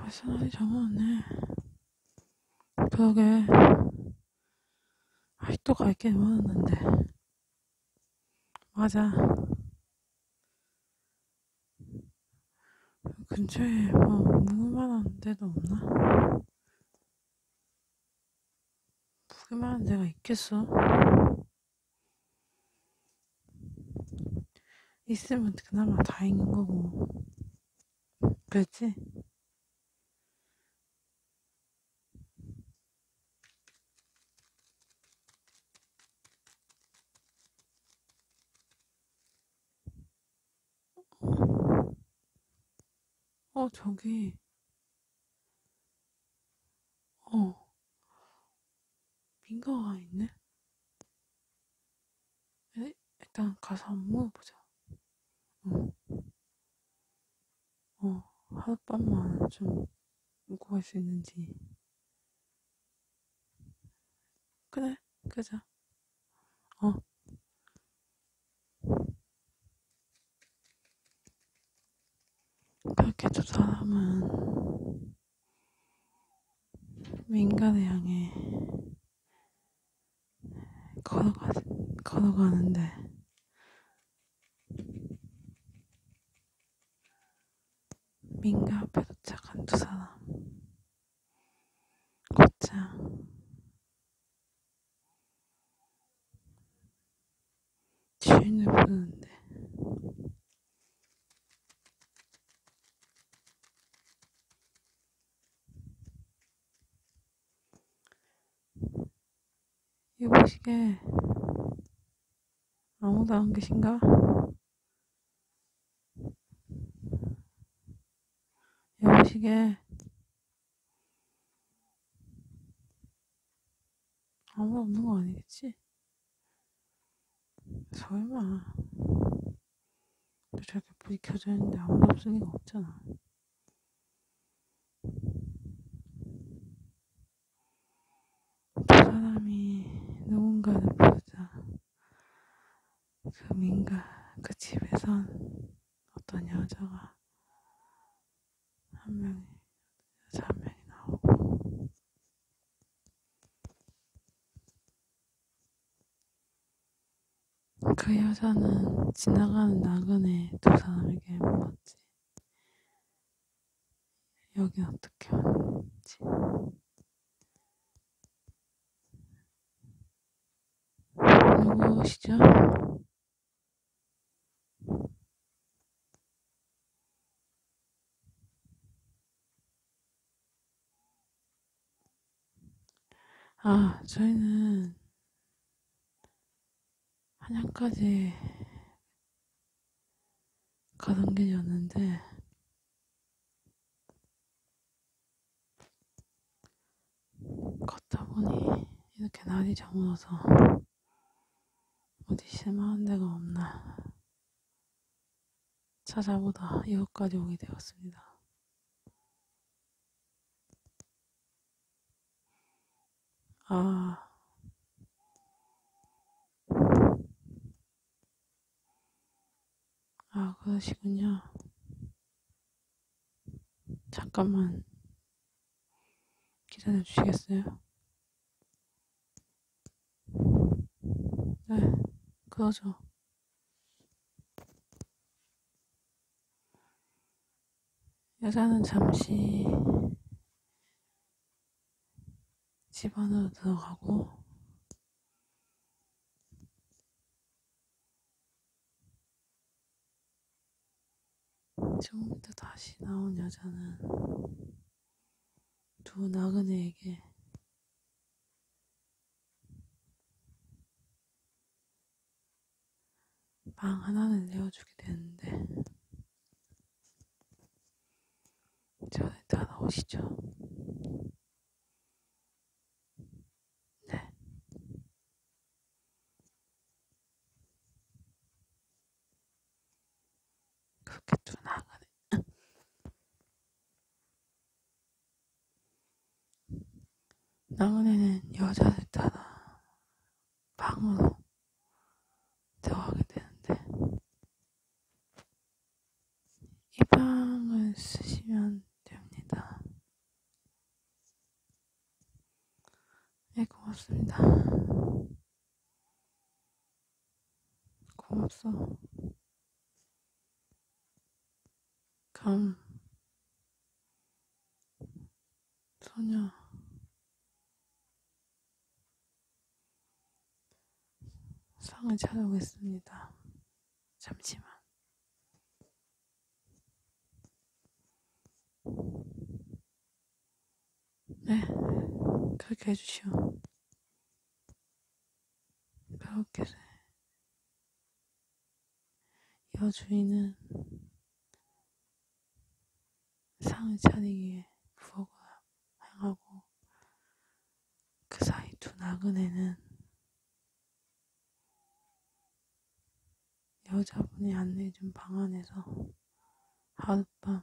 아스날이 잡아왔네. 그러게. 아직도 갈게 많았는데. 맞아. 근처에 뭐 묵을만한 데도 없나? 묵을만한 데가 있겠어? 있으면 그나마 다행인 거고. 그렇지? 어, 저기. 어. 민가가 있네? 일단 가서 한번 물어보자. 응. 어, 하룻밤만 좀 웃고 갈 수 있는지. 그래, 그러자. 어. 그렇게 두 사람은 민간을 향해 걸어가, 걸어가는데 민가 앞에 도착한 두 사람 곧장 주인을 부르는데 여보시게 아무도 안 계신가? 여보시게 아무도 없는 거 아니겠지? 설마 저렇게 불이 켜져 있는데 아무도 없을 리가 없잖아 두 사람이 누군가를 부르자. 그 민가, 그 집에선 어떤 여자가 한 명이, 여자 한 명이 나오고, 그 여자는 지나가는 나그네 두 사람에게 물었지. 여기 어떻게 하는지. 누구시죠? 아, 저희는 한양까지 가던 길이었는데 걷다 보니 이렇게 날이 저물어서 어디 실만한 데가 없나 찾아보다 이곳까지 오게 되었습니다. 아, 아, 그러시군요. 잠깐만 기다려 주시겠어요? 네, 그러죠. 여자는 잠시 집 안으로 들어가고 지금부터 다시 나온 여자는 두 나그네에게 빵 하나를 내어주게 되는데 저는 다 나오시죠? 네. 그렇게 또 나가네. 나그네는 여자를 따라 방으로 대화하게 되는데 이 방을 쓰시면 됩니다. 네, 고맙습니다. 고맙소. 감, 소녀, 상을 찾아오겠습니다. 잠시만. 네, 그렇게 해주시오. 그렇게 돼. 여주인은 상을 차리기에 부엌을 향하고 그 사이 두 나그네는 여자분이 안내해준 방 안에서 하룻밤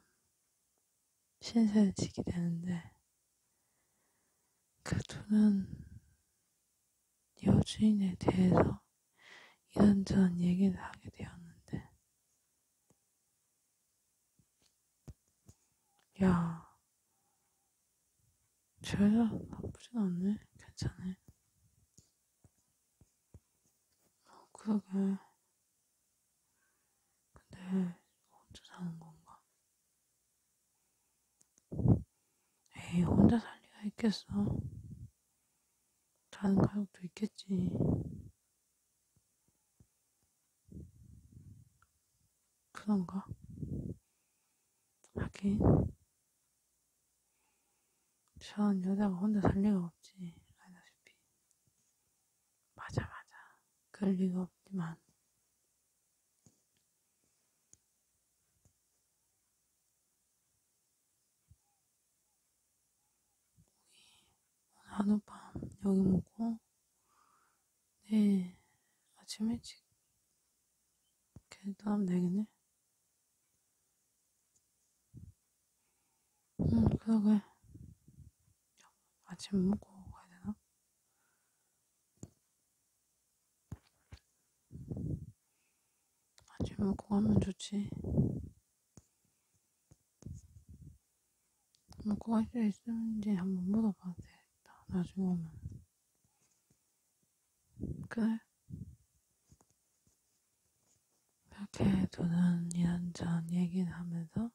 신세를 지게 되는데 그 둘은 여주인에 대해서 이런저런 얘기를 하게 되었는데 야, 저 여자 나쁘진 않네. 괜찮네. 어, 그러게. 근데 혼자 사는 건가? 에이, 혼자 살 리가 있겠어. 다른 가족도 있겠지. 그런가? 하긴. 전 여자가 혼자 살 리가 없지. 알다시피. 맞아, 맞아. 그럴 리가 없지만. 우리 하룻밤 여기 묵고 내일 네, 아침 일찍 걔도 하면 되겠네 응 그러게 아침 먹고 가야 되나? 아침 먹고 가면 좋지 먹고 뭐 할수 있는지 한번 물어봐야 되겠다. 나중에 오면. 그래. 그렇게 둘은 이런저런 얘기를 하면서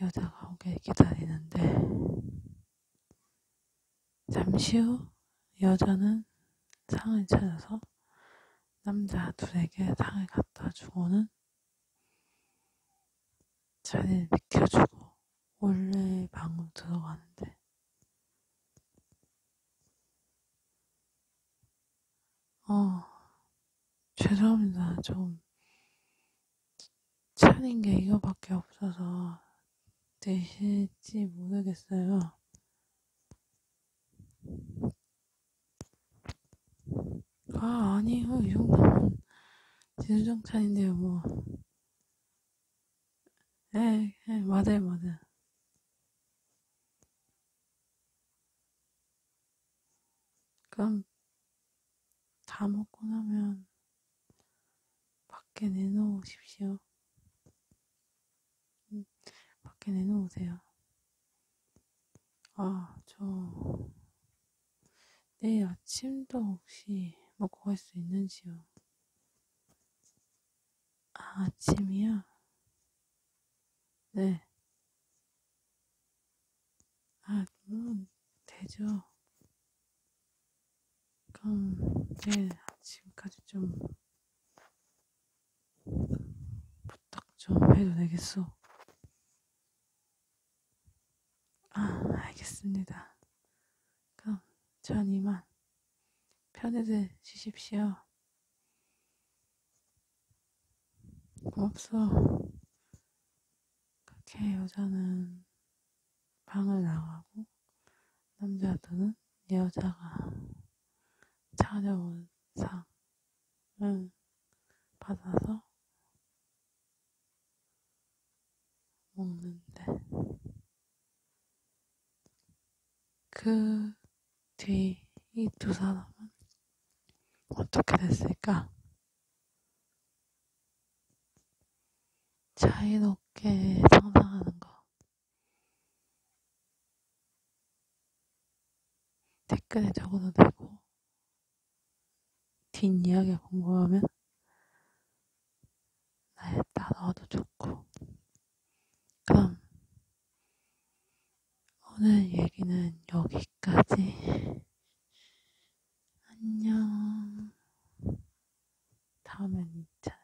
여자가 오길 기다리는데, 잠시 후 여자는 상을 차려서 남자 둘에게 상을 갖다 주고는 자리를 비켜주고 원래 방으로 들어가는데 어 죄송합니다 좀 차린 게 이거밖에 없어서 되실지 모르겠어요 아, 아니요. 어, 이 정도면 진정찬인데요, 뭐. 예, 예, 맞아요, 맞아요. 그럼 다 먹고 나면 밖에 내놓으십시오. 음, 밖에 내놓으세요. 아, 저, 내일 아침도 혹시 먹고 갈 수 있는지요? 아, 아침이야? 네. 아, 물론, 되죠. 그럼, 내일 아침까지 좀, 부탁 좀 해도 되겠어? 아, 알겠습니다. 그럼 전 이만 편히들 쉬십시오. 없어. 그렇게 여자는 방을 나가고 남자들은 여자가 찾아온 상 응, 받아서 먹는데, 그 뒤 이 두 사람은 어떻게 됐을까? 자유롭게 상상하는 거. 댓글에 적어도 되고 뒷이야기 궁금하면 나에다 넣어도 좋고 그럼 오늘 얘기는 여기까지 안녕 다음엔 잘